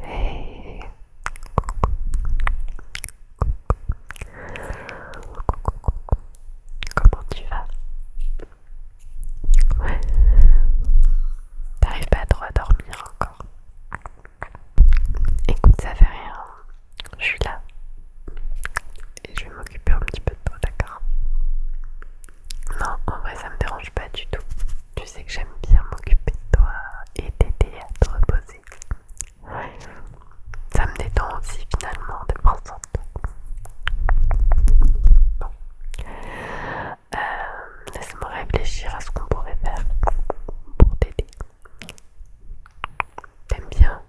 Hey Comment tu vas Ouais. T'arrives pas droit à dormir encore. Écoute, ça fait rien. Je suis là et je vais m'occuper un petit peu de toi, d'accord Non, en vrai, ça me dérange pas du tout. Tu sais que j'aime bien m'occuper de toi et t'aider à te reposer. Ouais. Ça me détend aussi finalement de prendre soin de toi. Bon. Euh, laisse-moi réfléchir à ce qu'on pourrait faire pour t'aider. T'aimes bien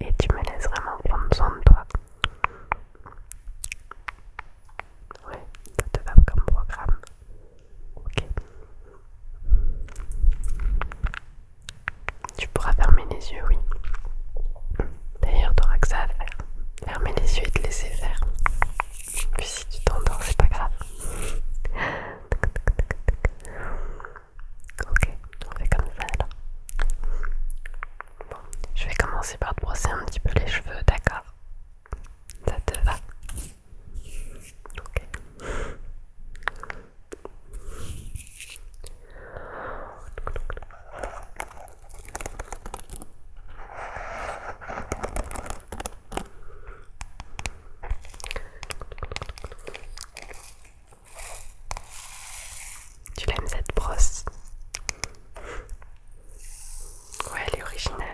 et tu me laisses vraiment prendre soin de toi. Ouais, ça te va comme programme. Ok. Tu pourras fermer les yeux, oui. D'ailleurs, tu t'auras que ça à faire. Fermer les yeux et te laisser faire. Puis si tu t'endors, c'est pas grave. Ok, on fait comme ça Bon, je vais commencer par te brosser un petit peu les cheveux, d'accord Ça te va Ok. Tu l'aimes cette brosse Ouais, elle est originale.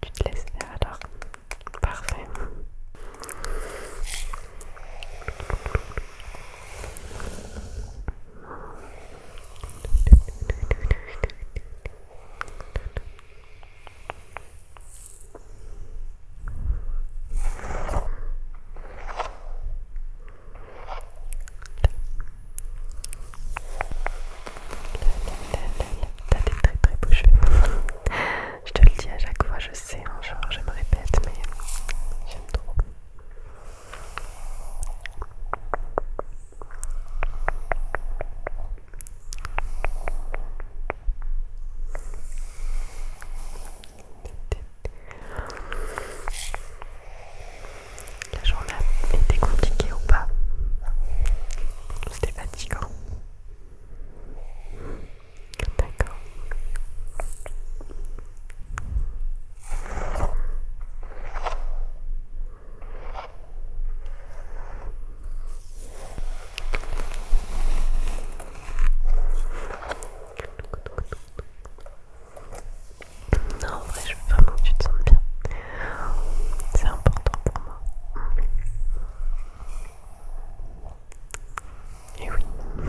Tu te laisses faire alors. Parfait. T'as des très très beaux cheveux. je te le dis à chaque fois, je sais, genre hein, je me répète, mais j'aime trop. La journée a été compliquée ou pas C'était fatigant. D'accord. Non, en vrai, je veux vraiment que tu te sentes bien. C'est important pour moi. Et oui,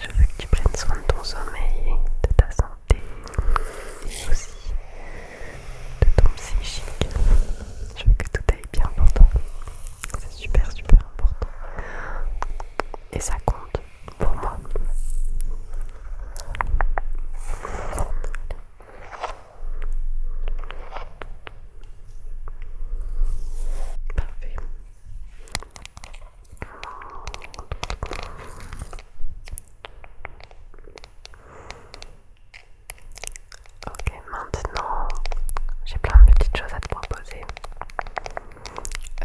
je veux que tu prennes soin de ton sommeil, de ta santé et aussi de ton psychique. Je veux que tout aille bien pour toi. C'est super, super important. Et ça compte moi. Parfait. Ok, maintenant j'ai plein de petites choses à te proposer.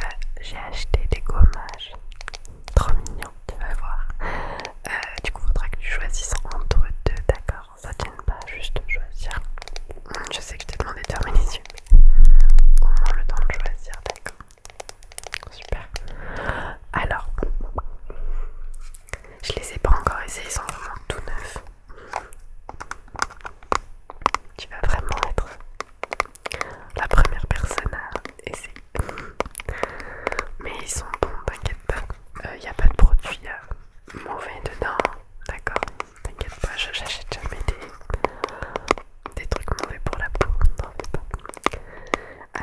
Euh, j'ai acheté des gommages trop mignons, tu vas voir. Euh, du coup, faudra que tu choisisses entre deux, d'accord Ça tienne pas juste choisir. Hmm, je sais que je t'ai demandé de fermer les yeux, mais au moins le temps de choisir, d'accord Super. Alors, je les ai pas encore essayés, ils sont vraiment tout neufs. Tu vas vraiment être la première personne à essayer. Mais ils sont bons, t'inquiète pas. Il euh, n'y a pas de produit mauvais dedans, d'accord T'inquiète pas, je n'achète jamais des, trucs mauvais pour la peau, pas.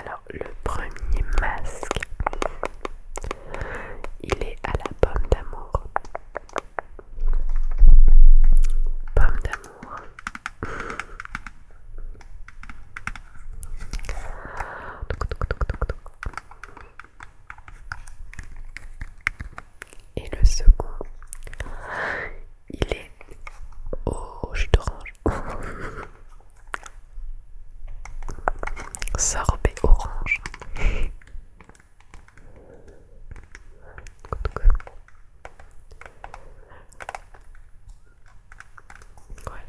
Alors, le premier masque, il est à la pomme d'amour. Pomme d'amour et le second il est au jus d'orange sorbet orange voilà.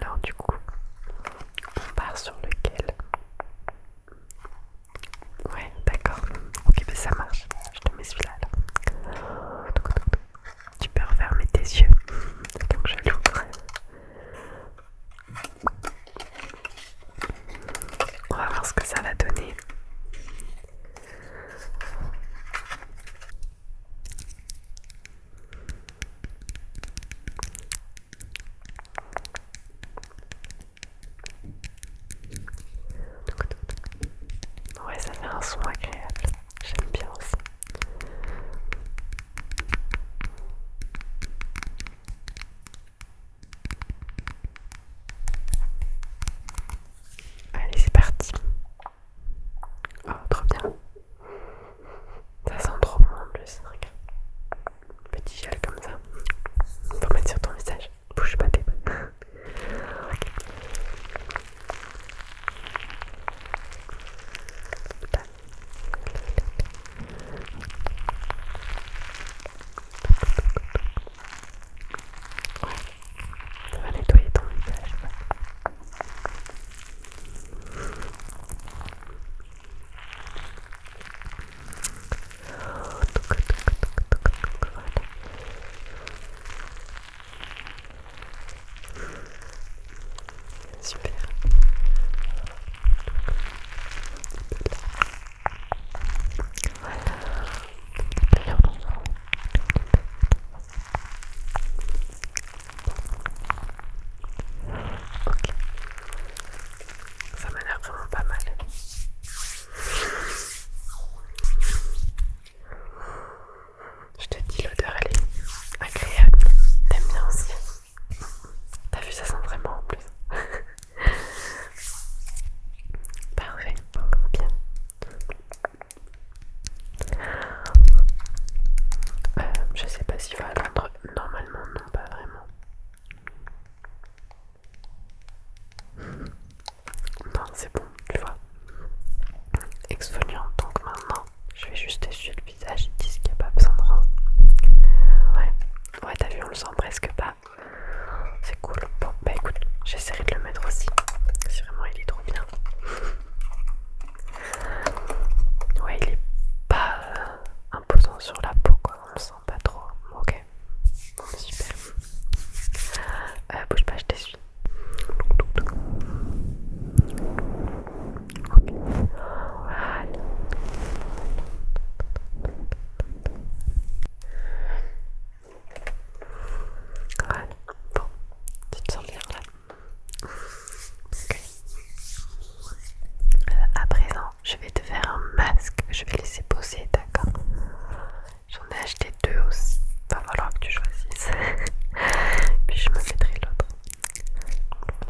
Alors du coup, on part sur lequel Ouais, d'accord. Ok, mais ben, ça marche. Je te mets celui-là. Tu peux refermer tes yeux. Donc je l'ouvre. On va voir ce que ça va donner. Ouais, ça fait un son agréable. J'aime bien aussi. Allez, c'est parti. Oh, trop bien. Ça sent trop bon en plus Regarde Petit gel comme ça. Faut mettre sur ton visage. Bouge pas, tes Ouais, ça va nettoyer ton visage. Super. Un petit peu de ça m'a l'air vraiment pas mal. Je te dis, l'odeur elle est agréable. T'aimes bien aussi. T'as vu, ça sent vraiment en plus. Parfait, bien. Euh, je sais pas s'il va attendre. Normalement, non, pas vraiment. Non, c'est bon, tu vois. Exfoliant, donc maintenant, je vais juste essuyer le visage. Ils disent qu'il n'y a pas besoin de Ouais, ouais, t'as vu, on le sent presque pas. Ah, c'est cool. Bon, bah écoute, j'essaierai de le mettre aussi. C'est vraiment, il est trop bien. Ouais, il est pas euh, imposant sur la peau, quoi. On le sent pas trop. Ok, super. Euh, bouge pas, je t'essuie. OK. Voilà. Voilà, bon, tu te sens bien là. Ok euh, à présent, je vais te faire un masque. Je vais laisser poser, d'accord J'en ai acheté deux aussi. Va falloir que tu choisisses. Puis je me mettrai l'autre.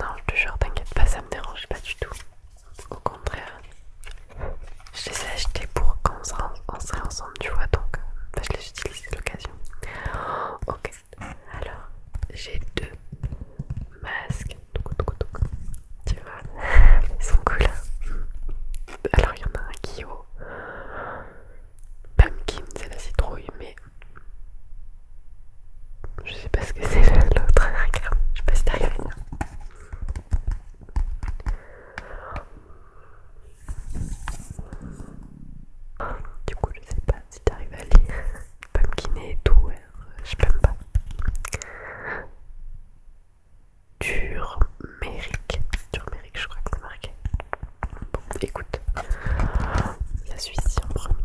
Non, je te t'inquiète pas, ça me dérange pas du tout. Au contraire, je les ai achetés pour quand on ensemble, tu vois, donc euh, je les utilise, à l'occasion. Ok, alors j'ai deux masques. Tu vois, ils sont cool. Hein. Alors il y en a un qui est au pumpkin, c'est la citrouille, mais je sais pas ce que c'est l'autre, regarde, je sais pas si t'arrives. à lire Du coup, je sais pas si t'arrives à lire. Pumpkin et tout, je peux pas. Turmeric, turmeric, je crois que c'est marqué. Bon, écoute, La y a en premier.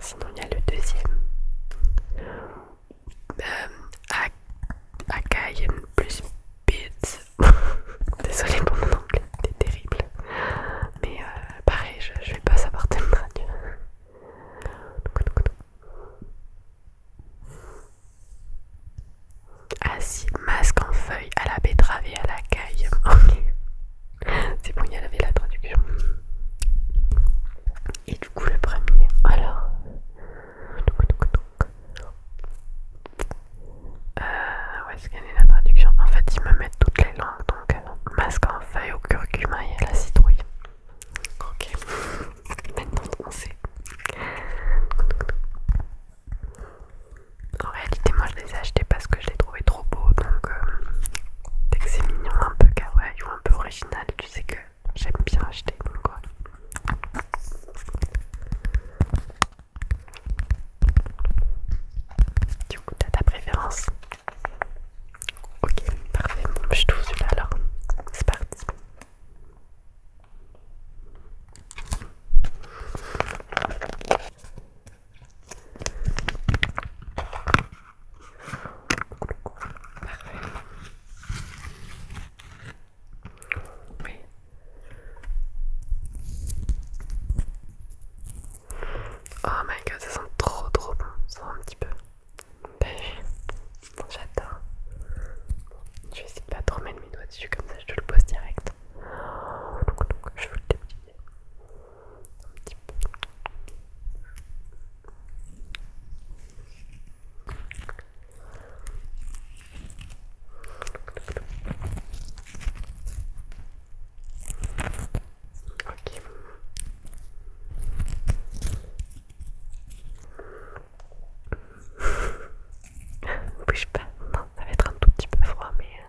Sinon il y a le deuxième. Euh, Akai plus Beats. Désolée pour mon anglais, c'est terrible. Mais euh, pareil, je, vais pas savoir te Acide, masque en feuille à la betterave et à la caille. Ok. C'est bon, il y avait la traduction. Et du coup, le premier. Alors. Euh, où est-ce y a la traduction En fait, ils me mettent toutes les langues. Donc, euh, masque en feuille au curcuma et à la citrouille. Ok. Maintenant, on sait en réalité moi je les ai achetés parce que je les trouvais trop beaux donc euh, que c'est mignon un peu kawaii ou un peu original tu sais que j'aime bien acheter donc quoi du coup t'as ta préférence ok parfait bon je trouve celui-là alors c'est parti Oh my god, ça sent trop trop bon. Ça sent un petit peu. J'adore. Je vais essayer de pas trop mettre mes doigts dessus, comme ça je te le pose direct donc, Je veux le déplier un petit peu. Ok. Bouge pas, non, ça va être un tout petit peu froid, mais euh,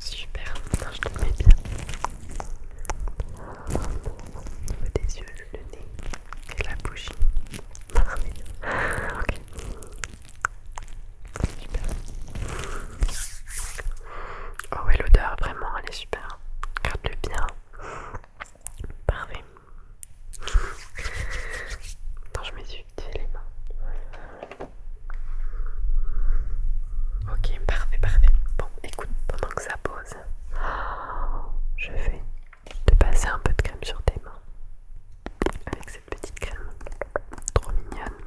Super, je te mets bien. Au niveau des yeux, le nez et la bouche. ok. Super. Oh ouais, l'odeur, vraiment, elle est super. Garde-le bien. Parfait. je me suis utilisé les mains. Ok, parfait, parfait. Bon, écoute, pendant que ça pose, je vais te passer un peu de crème sur tes mains. Avec cette petite crème, trop mignonne.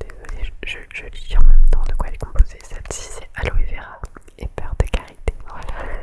Désolée, je, lis en même temps de quoi elle est composée. Celle-ci, c'est aloe vera et peur de carité. Voilà.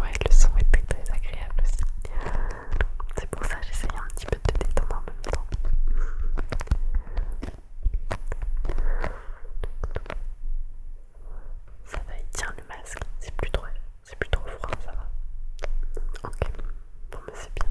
Ouais, le son était très agréable aussi. C'est pour ça que j'essayais un petit peu de te détendre en même temps. Ça va, il le masque. C'est plus trop, c'est plus froid, ça va. Ok, bon, mais bah, c'est bien.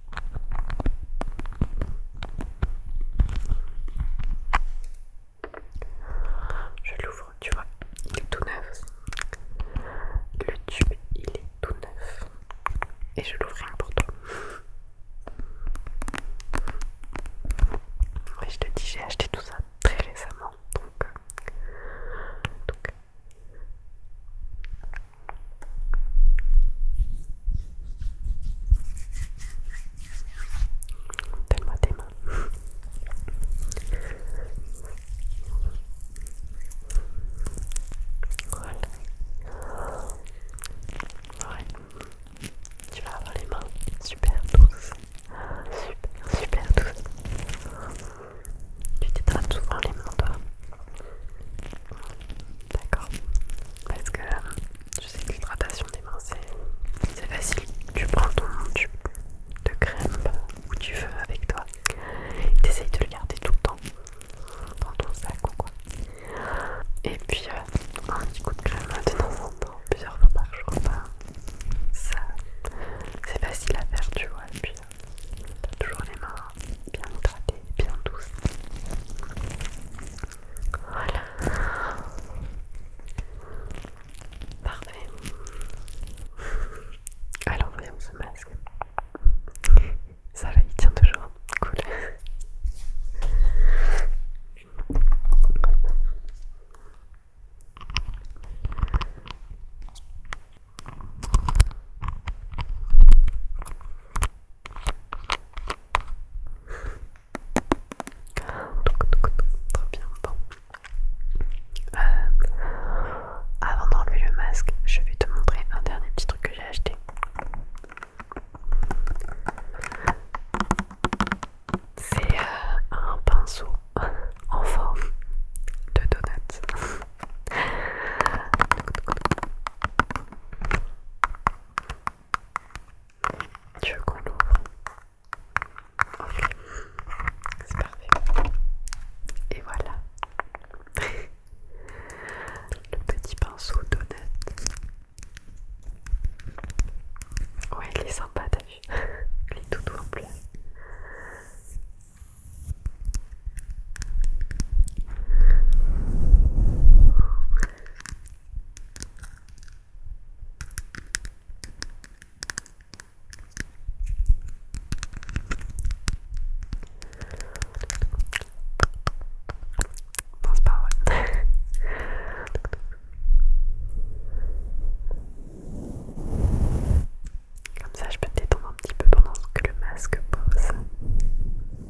Je l'ouvre, tu vois, il est tout neuf. Le tube, il est tout neuf. Et je l'ouvre rien pour toi. Oui, je te dis, j'ai acheté tout ça très récemment. Donc, euh, donc Donne-moi tes mains. Voilà. Ouais. Tu vas avoir les mains super douces. Super, super douces. Tu t'étapes souvent les mains, toi. D'accord. Parce que je sais que l'hydratation des mains, c'est facile. Tu prends ton tube de crème où tu veux avec toi. T'essayes de le garder tout le temps dans ton sac ou quoi. Et puis euh, un petit coup de crème de plusieurs fois par jour. Ben, ça, c'est facile à faire, tu vois. Et puis euh, t'as toujours les mains bien hydratées, bien douces. Voilà. Parfait. Alors voyons ce masque. Ça va, il tient toujours. Cool bien, bon. Euh, avant d'enlever le masque, je vais te montrer un dernier petit truc que j'ai acheté. C'est euh, un pinceau en forme de donut. Tu veux qu'on l'ouvre Ok, c'est parfait. Et voilà. Le petit pinceau d'honnête. Ouais, il est sympa, t'as vu Il est tout en plus. Comme ça, je peux détendre un petit peu pendant que le masque pose.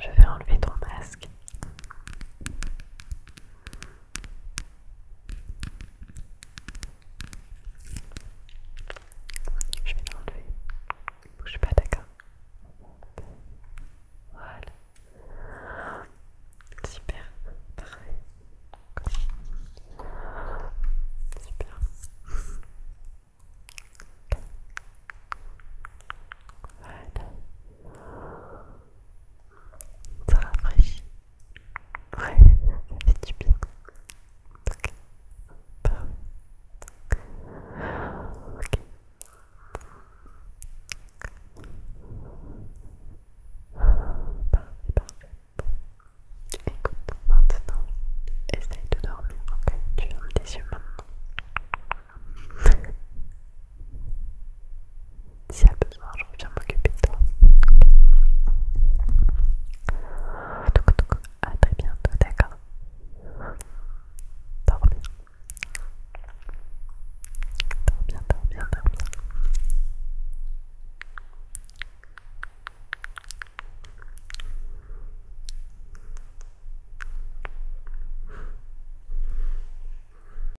Je vais enlever ton masque. Je vais l'enlever. Ne bouge pas, d'accord Voilà. Super. Parfait. Super. Voilà. Ça rafraîchit. Ouais, ça fait bien. Ok. Ok. Parfait, parfait. Bon. Écoute, maintenant, essaye de dormir, ok Tu fermes tes yeux maintenant. Si y a besoin, je reviens m'occuper de toi. donc, à très bientôt, d'accord Dors bien. Dors bien, dors bien, dors bien.